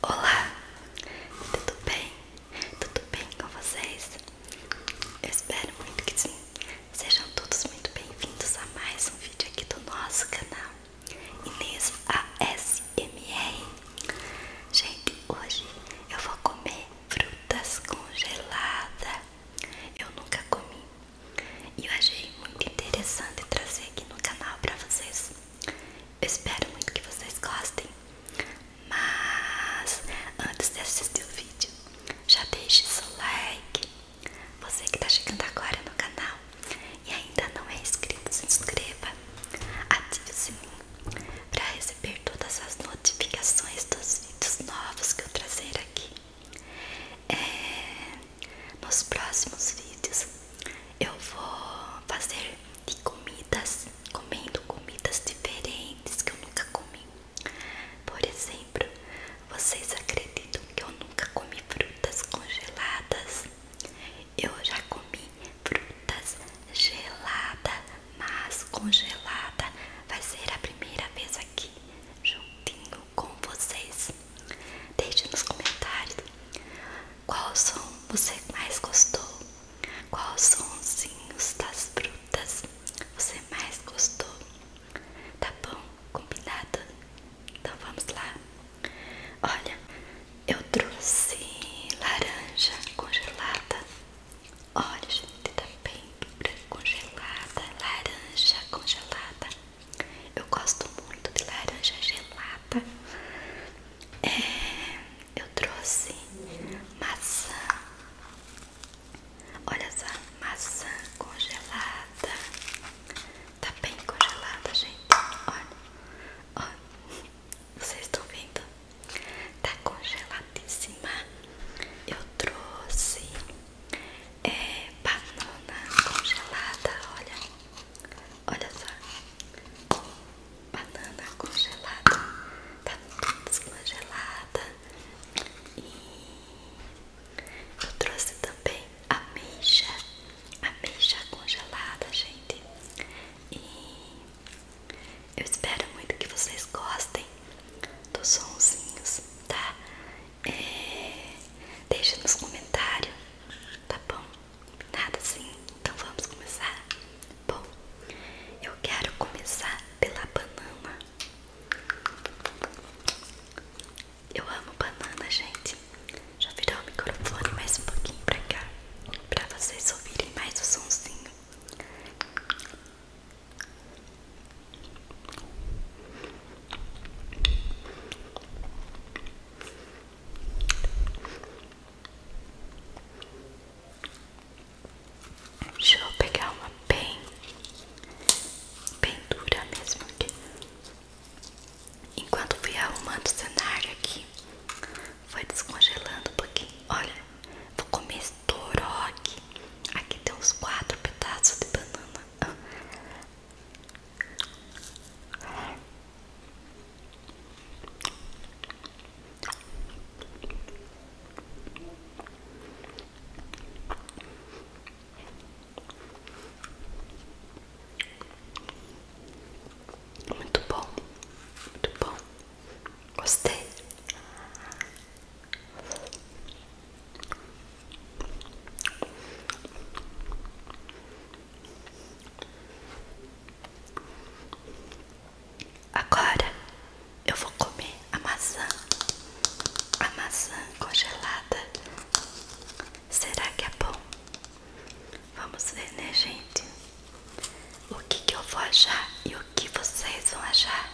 Olá, tudo bem? Tudo bem com vocês? Eu espero muito que sim. Sejam todos muito bem-vindos a mais um vídeo aqui do nosso canal Inês ASMR. Gente, hoje eu vou comer frutas congeladas. Eu nunca comi e eu achei muito interessante trazer aqui no canal para vocês. Eu espero muito que vocês gostem. Mas antes de assistir o vídeo, já deixe seu like. Você que está chegando agora no canal e ainda não é inscrito, se inscreva. Ative o sininho para receber todas as notificações dos vídeos novos que eu trazer aqui. É, nos próximos vídeos eu vou fazer de comidas, comendo comidas diferentes que eu nunca comi. Por exemplo, vocês acreditam que eu nunca comi frutas congeladas? Eu já comi frutas gelada, mas congelada. Vai ser a primeira vez aqui, juntinho com vocês. Deixe nos comentários qual som você mais gostou, qual sonzinhos das frutas você mais gostou. Tá bom? Combinado? Então vamos lá. Olha, eu trouxe laranja congelada. Olha, gente, tá bem congelada, laranja congelada. Eu gosto muito de laranja gelada. É, eu trouxe maçã. Olha essa maçã congelada. Tá bem congelada, gente. olha. Vocês estão vendo? Tá congeladíssima. Eu trouxe é banana congelada, olha, olha só, banana congelada, tá tudo descongelada e eu trouxe também ameixa, ameixa congelada, gente, e eu espero muito que vocês gostem dos sonzinhos, tá? É, deixe nos comentários, tá bom? Nada assim, então vamos começar? Bom, eu quero começar pela banana. Eu amo banana, gente. Já virou o microfone mais um pouquinho pra cá, pra vocês ouvirem mais o sonzinho. Deixa eu pegar uma bem, bem dura mesmo aqui. Enquanto fui arrumando o cenário aqui, foi descongelando um pouquinho. Olha, vou comer esse aqui. Aqui tem uns quatro pedaços de banana. Muito bom, muito bom. Gostei. Agora eu vou comer a maçã, a maçã congelada. Será que é bom? Vamos ver, né, gente? O que, eu vou achar e o que vocês vão achar?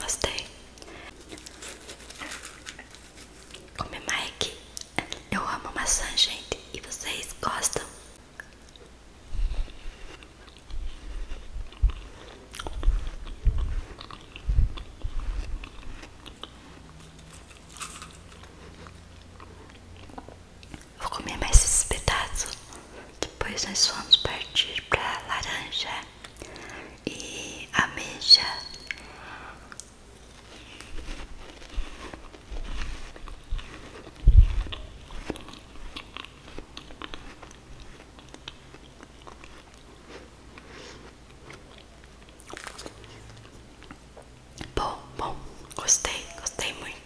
Gostei. Como é Eu amo maçã, gente. E vocês gostam? Vou comer mais esses pedaços. Depois nós vamos partir para laranja e ameixa. Bom, bom, gostei, gostei muito.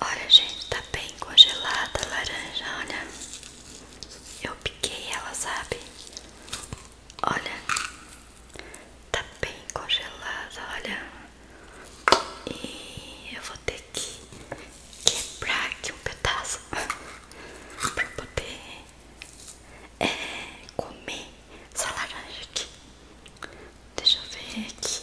Olha, gente, tá bem congelada a laranja, olha. Eu piquei ela, sabe? Olha. Tá bem congelada, olha. E eu vou ter que quebrar aqui um pedaço pra poder é, comer essa laranja aqui. Deixa eu ver aqui.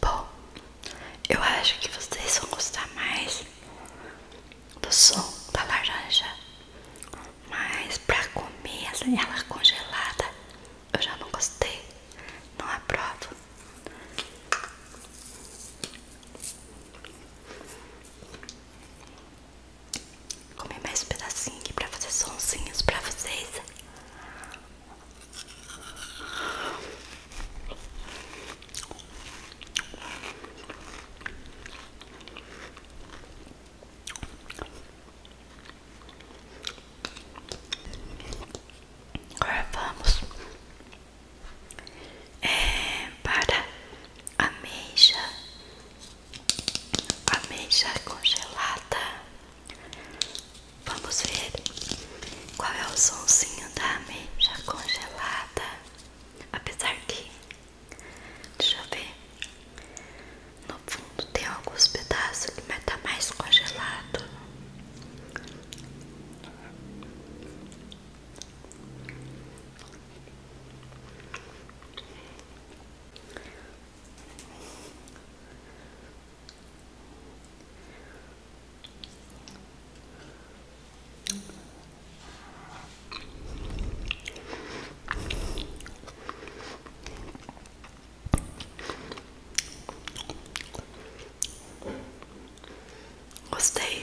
Bom, eu acho que vocês vão gostar mais do som da laranja, mas pra comer assim, ela congelada eu já não gostei, não aprovo comer mais pedacinho aqui pra fazer sonsinhos pra vocês. Agora vamos é, para a mecha ameixa congelada. Vamos ver qual é o somzinho da ameixa congelada. Apesar que, deixa eu ver, no fundo tem alguns pedaços que vai tá mais congelado. Gostei,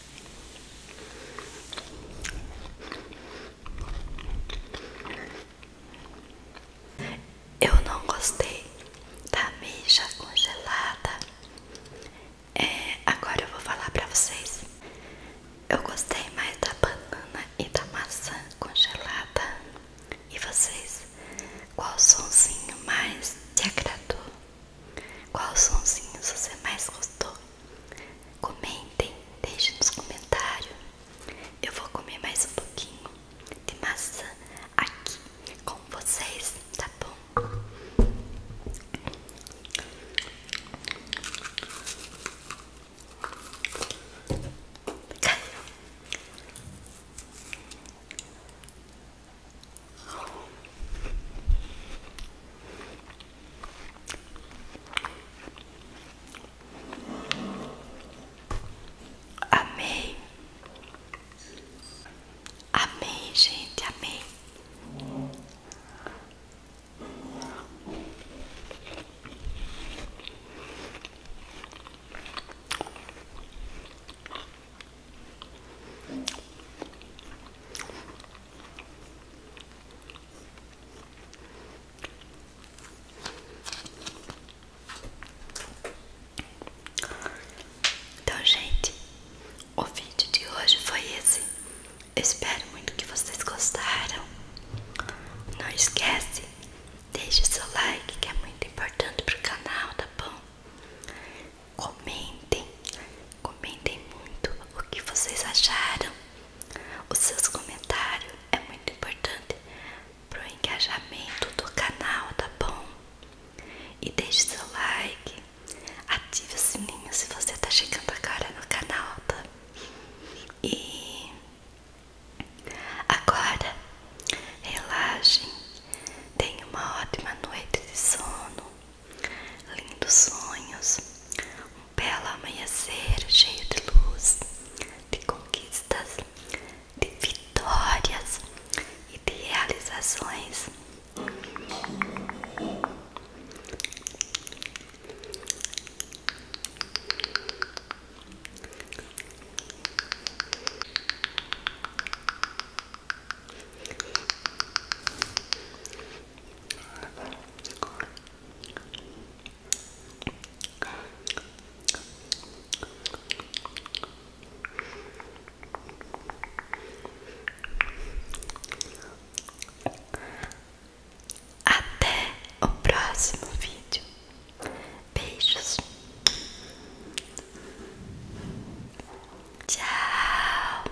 Eu não gostei da meia congelada. É, agora eu vou falar pra vocês. Eu gostei mais da banana e da maçã congelada. E vocês? Qual sonzinho mais te agradou? Qual sonzinho você mais gostou? Comentem, deixem nos comentários. Eu vou comer mais um pouquinho de massa aqui com vocês, tá bom? Amém. Amém, gente, Amém. Então, gente, o vídeo de hoje foi esse. espero muito que vocês gostaram. Não esquece, deixe seu like que é muito importante pro canal, tá bom? Comentem, comentem muito o que vocês acharam. Os seus comentários é muito importante para o engajamento do canal, tá bom? E deixe seu like, ative o sininho se você tá chegando agora no canal, tá? E agora relaxem, tenha uma ótima noite de sono, lindos sonhos, um belo amanhecer cheio de luz, de conquistas, de vitórias e de realizações. Até o próximo vídeo. Beijos. Tchau.